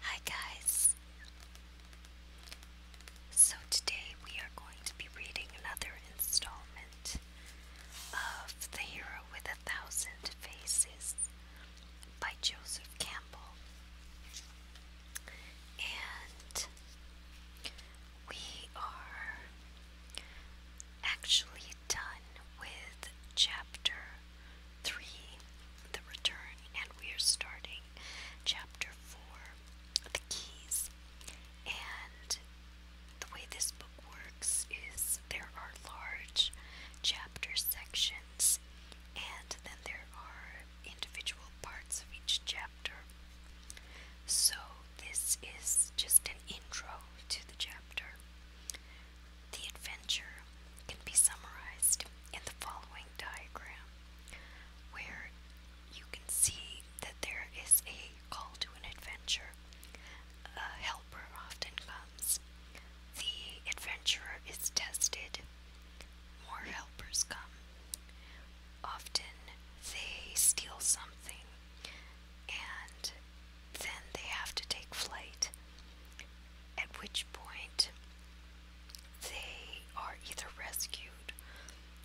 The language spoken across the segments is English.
Hi guys! So today we are going to be reading another installment of The Hero with a Thousand Faces by Joseph Campbell. And we are actually done with chapter 3, The Return, and we are starting chapter 4, The Keys. And the way this book works is there are large chapter sections, and then there are individual parts of each chapter. So, this is just an intro to the chapter. The adventure can be summarized in the following diagram, where you can see that there is a call to an adventure. A helper often comes. The adventurer is tested. More helpers come. Often they steal something and then they have to take flight, at which point they are either rescued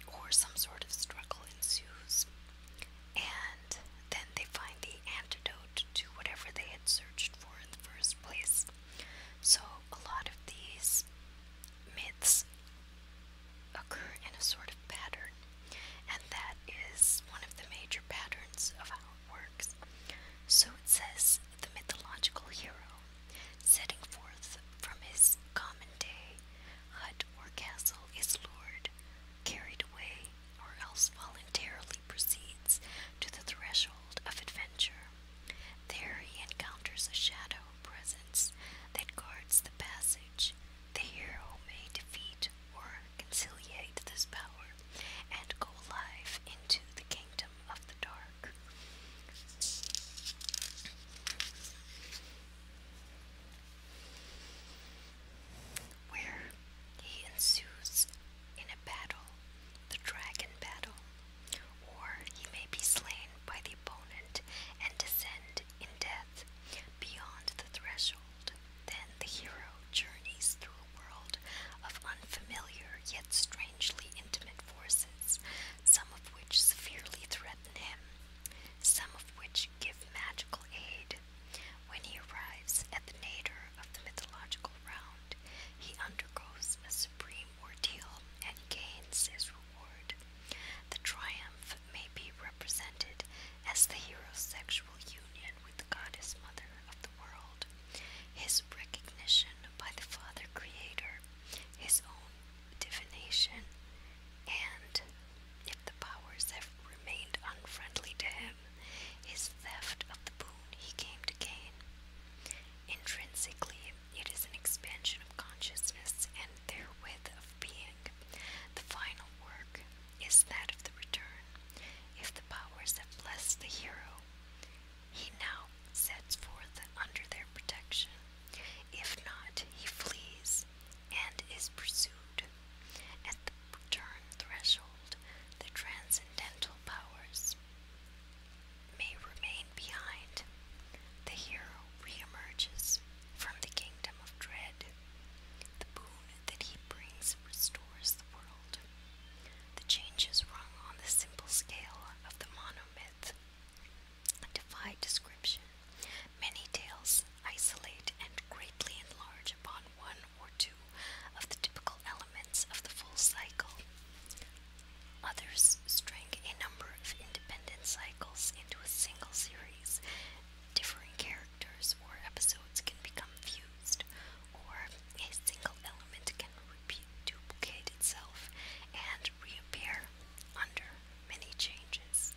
or some sort of struggle ensues, and then they find the antidote to whatever they had searched for in the first place. So, a lot of these myths occur in a sort of pattern, and that is one of the major patterns of how works. So it says the mythological hero, setting forth from his common day hut or castle, is lured, carried away, or else voluntarily proceeds to the threshold of adventure. There he encounters a shadow presence that guards the passage. The hero may defeat or conciliate this power, and go live into the kingdom of the dark. Where he ensues in a battle, the dragon battle, or he may be slain by the opponent and descend in death beyond the threshold. Then the hero journeys through a world of unfamiliar yet strangely intimate forces, some of which severely threaten him, some of which give magical aid. When he arrives at the nadir of the mythological round, he undergoes a supreme ordeal and gains his reward. The triumph may be represented as the hero's sexual union with the goddess mother, of the world, his recognition by the Father Creator, his own divination, and, if the powers have remained unfriendly to him, his theft of the boon he came to gain. Intrinsically, it is an expansion of consciousness and therewith of being, the final work is that of the return. If the powers that bless the hero, he now sets forth under their protection. If not, he flees and is pursued. At the return threshold, the transcendental powers may remain behind. The hero reemerges from the kingdom of dread the boon that he brings restores the world. The changes rung on the simple scale of the monomyth defy description. Many tales isolate and greatly enlarge upon one or two of the typical elements of the full cycle. Others string a number of independent cycles into a single series Differing characters or episodes can become fused, or a single element can repeat, duplicate itself, and reappear under many changes.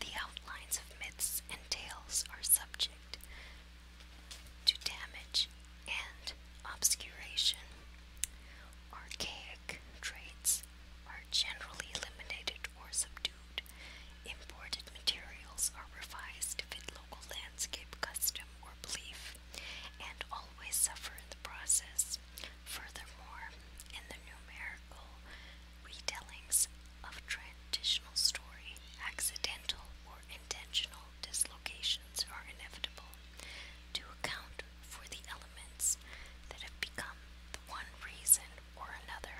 The outlines of myths and tales are subject to damage and obscuration. Archaic traits are generally eliminated or subdued. Imported materials are revised to fit local landscape custom or belief, and always suffer in the process. Furthermore, in the numerical retellings of traditional story, accidental or intentional dislocations are inevitable. To account for the elements that have become the one reason or another.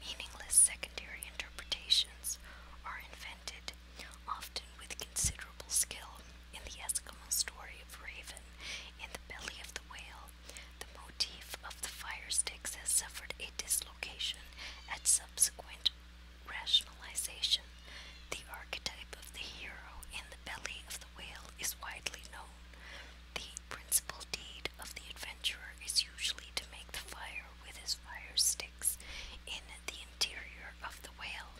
Meaningless secondary interpretations are invented, often with considerable skill. In the Eskimo story of Raven in the belly of the whale, the motif of the fire sticks has suffered a dislocation at subsequent rationalization. The archetype of the hero in the belly of the whale is widely known principal deed of the adventurer is usually to make the fire with his fire sticks in the interior of the whale.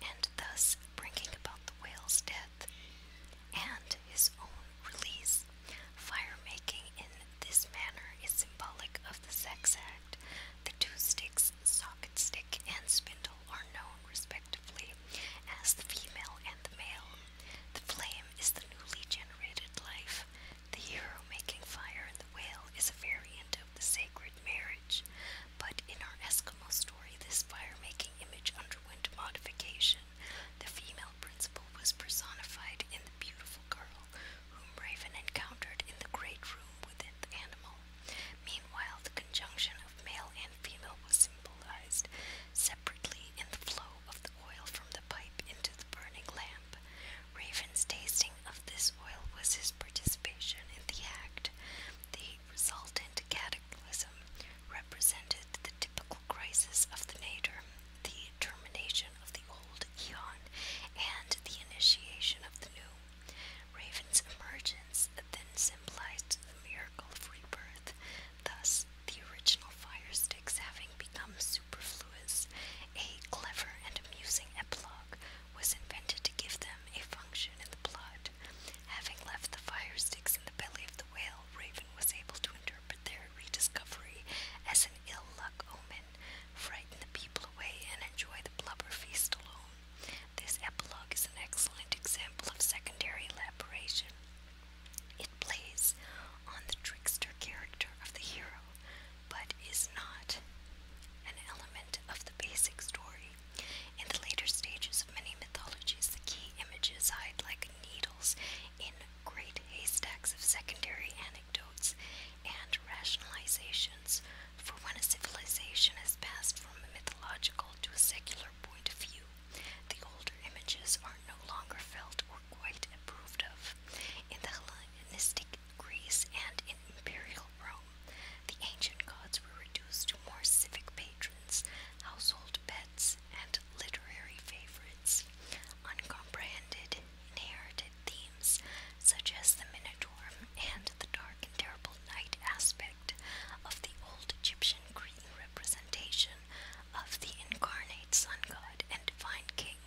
And thus bringing about the whale's death and his own release. Fire making in this manner is symbolic of the sex act. The two sticks, socket stick and spindle, are known respectively as the female and the male. The flame is the newly generated life. The hero making fire and the whale is a variant of the sacred marriage. But in our Eskimo story, this fire making image underwent modification. The female principle was personified in the beautiful girl whom Raven encountered in the great room within the animal. Meanwhile, the conjunction of male and female was symbolized separately in the flow of the oil from the pipe into the burning lamp. Raven's tasting of this oil was his participation in the act. The resultant cataclysm represented the typical crisis of the nadir, the termination of the old eon and the initiation of the new. Raven's emergence then symbolized the miracle of rebirth, thus, the original fire sticks having become superfluous, a clever and amusing epilogue was invented to give them a function in the plot. Having left the fire sticks in the belly of the whale, Raven was able to interpret their rediscovery as an ill luck omen frighten the people away, and enjoy the blubber feast alone. This epilogue is an excellent example of secondary elaboration. It plays on the trickster character of the hero, but is not an element of the basic story. In the later stages of many mythologies, the key images hide like needles in great haystacks of secondary anecdotes and rationalizations for when a civilization has passed from a mythological to a secular point of view, the older images are no longer felt or quite approved of. In the Hellenistic Greece and in imperial Rome, the ancient gods were reduced to more civic patrons, household pets, and literary favorites, uncomprehended narrated themes such as the Minotaur and the dark and terrible night aspect of the old Egyptian Greek representation of the incarnate sun god and divine king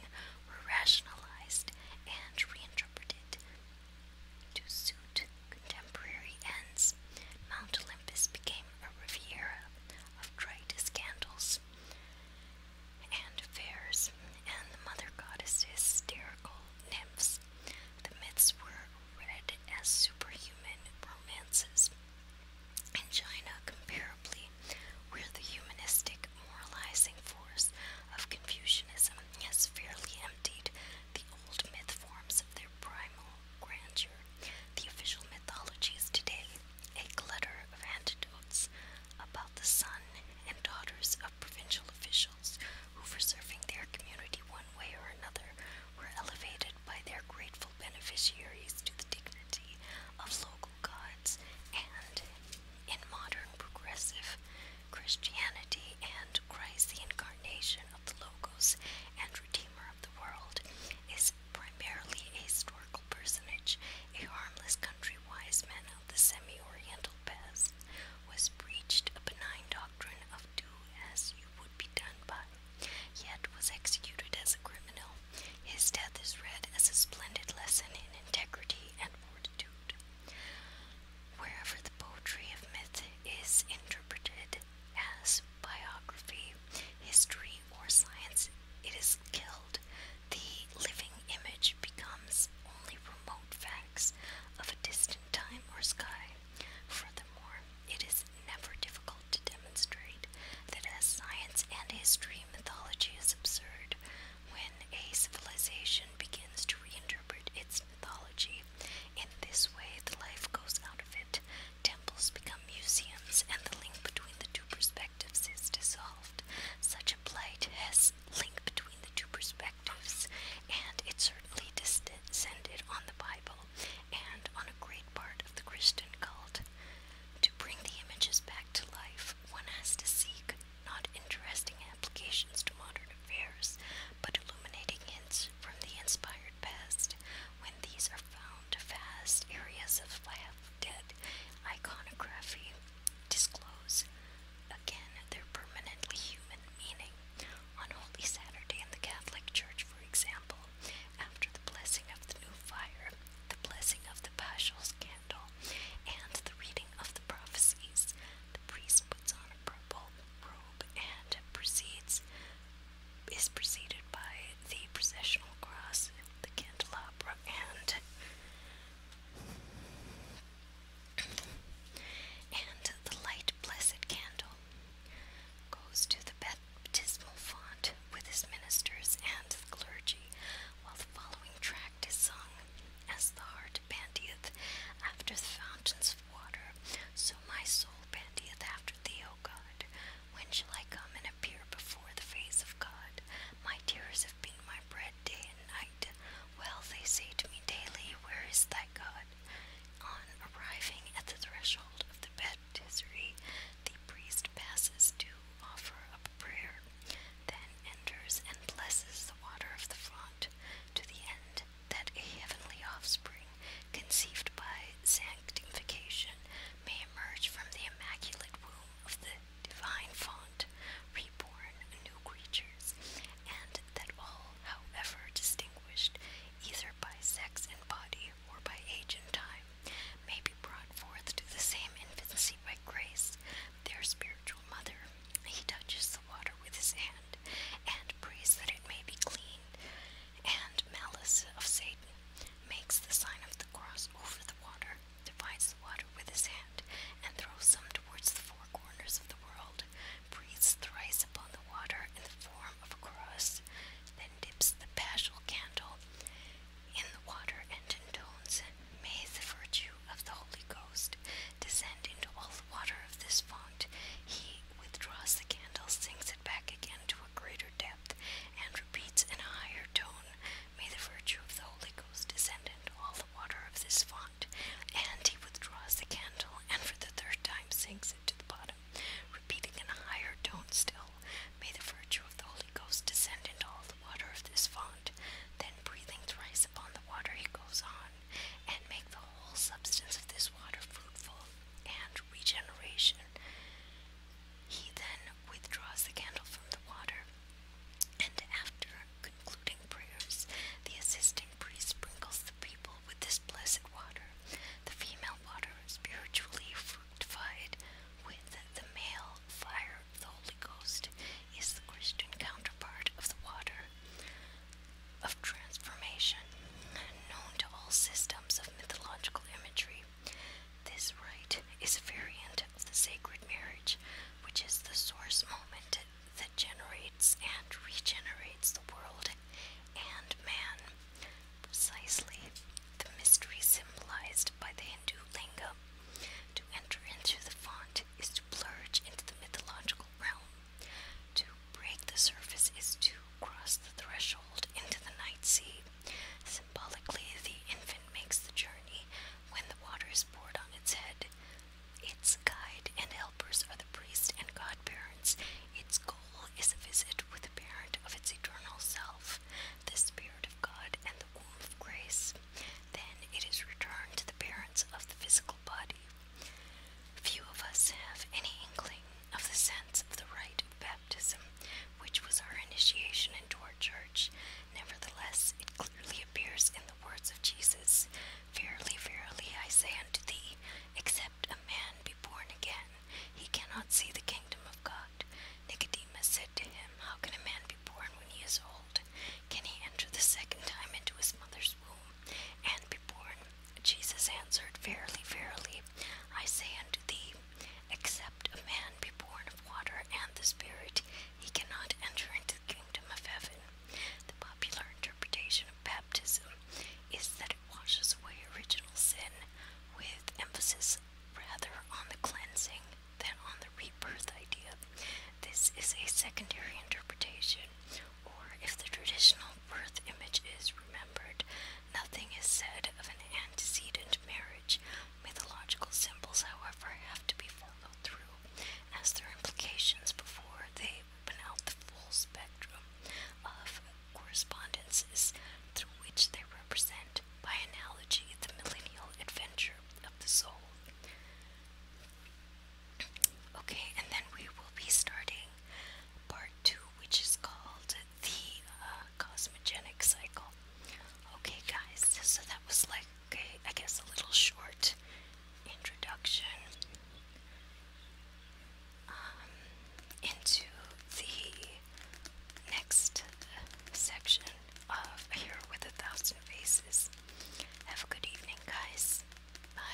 were rationalized and reinterpreted to suit contemporary ends. Mount Olympus became a riviera of trite scandals and fairs, and the mother goddess hysterical nymphs. The myths were read as superhuman romances. In China, comparably, where the humanistic moralizing force of Confucianism has fairly emptied the old myth forms of their primal grandeur, the official mythologies today, a clutter of antidotes about the son and daughters of provincial officials who, for serving their community one way or another, were elevated by their grateful beneficiaries to the dignity of local gods, and in modern progressive Christianity and Christ, the incarnation of the Logos and Redeemer of the world, is primarily a historical personage, a harmless country wise man the semi-oriental past was preached a benign doctrine of do as you would be done by, yet was executed as a criminal. His death is read as a splendid lesson in integrity and fortitude. Wherever the poetry of myth is interpreted as biography, history, or science, it is killed the living image becomes only remote facts of a distant time or sky. Furthermore, it is never difficult to demonstrate that as science and history, mythology is absurd. When a civilization begins to reinterpret its mythology, in this way the life goes out of it. Temples become museums, and the link between the two perspectives dissolved. Such a plight has linked between the two perspectives, and it certainly descended on the Bible and on a great part of the Christian cult. To bring the images back to life, one has to seek not interesting applications to modern affairs, but illuminating hints from the inspired past. When these are found, vast areas of dead iconography disclose again their permanently human meaning. On Holy Saturday in the Catholic Church, for example, after the blessing of the new fire, the blessing of the Paschal candle, and the reading of the prophecies, the priest puts on a purple robe and proceeds is preceded by the processional cross, the candela, and the light blessed candle goes to the baptismal font with his ministers and the clergy, while the following tract is sung. As the heart bandieth after the fountains of water, so my soul bandieth after thee, O God. When shall I come and appear before the face of God? My tears have been my bread day and night. Well, they say to me daily, Where is thy God? On arriving at the threshold of the baptistery, the priest passes to offer up a prayer, then enters and blesses the water of the font, to the end that a heavenly offspring, conceived by sanctification, may emerge from the immaculate womb of the divine font, reborn new creatures, and that all, however distinguished either by sex and body or by age and time, may be brought forth to the same infancy by grace, their spiritual mother. He touches the water with his hand, and prays that it may be clean, and malice of Satan, makes the sign of the cross over the water, divides the water with his hand, and throws some towards the four corners of the world, breathes thrice upon the water in the form of a cross, then dips the paschal candle in the water and intones, May the virtue of the Holy Ghost descend into all the water of this font. He withdraws the candle, sinks it back again to a greater depth, and repeats in a higher tone, May the virtue of the Holy Ghost descend into all the water of this font. And he withdraws the candle and for the third time sinks it to the bottom, repeating in a higher tone still, May the virtue of the Holy Ghost descend into all the water of this font. Then, breathing thrice upon the water, he goes on, And make the whole substance of this water fruitful and regeneration. He then withdraws the candle from the water, and after concluding prayers, the assisting priest sprinkles the people with this blessed water. The female water spiritually fructified with the male fire of the Holy Ghost is the Christian counterpart of the water of transformation, known to all systems of mythological imagery. This rite is a variant of the sacred marriage, which is the source moment that generates and regenerates the world and man. Precisely the mystery symbolized by the Hindu linga. To enter into the font is to plunge into the mythological realm. To break the surface is to cross the threshold into the night sea. Symbolically, the infant makes the journey when the water is poured on its head. Its guide and helpers are the priest and godparents. Its goal is a visit with the parent of its eternal self, the Spirit of God and the womb of grace. Then it is returned to the parents of the physical body. Few of us have any inkling of the sense of the right. of baptism, which was our initiation into our church. Nevertheless, it clearly appears in the words of Jesus Verily, verily, I say unto thee, except a man be born again, he cannot see the kingdom of God. Nicodemus said to him, How can a man be born when he is old? Can he enter the second time into his mother's womb and be born? Jesus answered, Verily, verily, I say unto thee, Except a man be born of water and the Spirit, he cannot enter into the kingdom of heaven. The popular interpretation of baptism is that it washes away original sin, with emphasis rather on the cleansing than on the rebirth idea. This is a secondary interpretation, or if the traditional birth image is remembered, Nothing is said of an antecedent marriage. Mythological symbols, however, have to be followed through as their implications before they open out the full spectrum of correspondences through which they represent, by analogy, the millennial adventure of the soul. Okay, and then we will be starting part two, which is called the uh, cosmogenic cycle. Okay, guys, so that was like, okay, I guess a little short introduction um, into the next section of A with a Thousand Faces. Have a good evening, guys. Bye.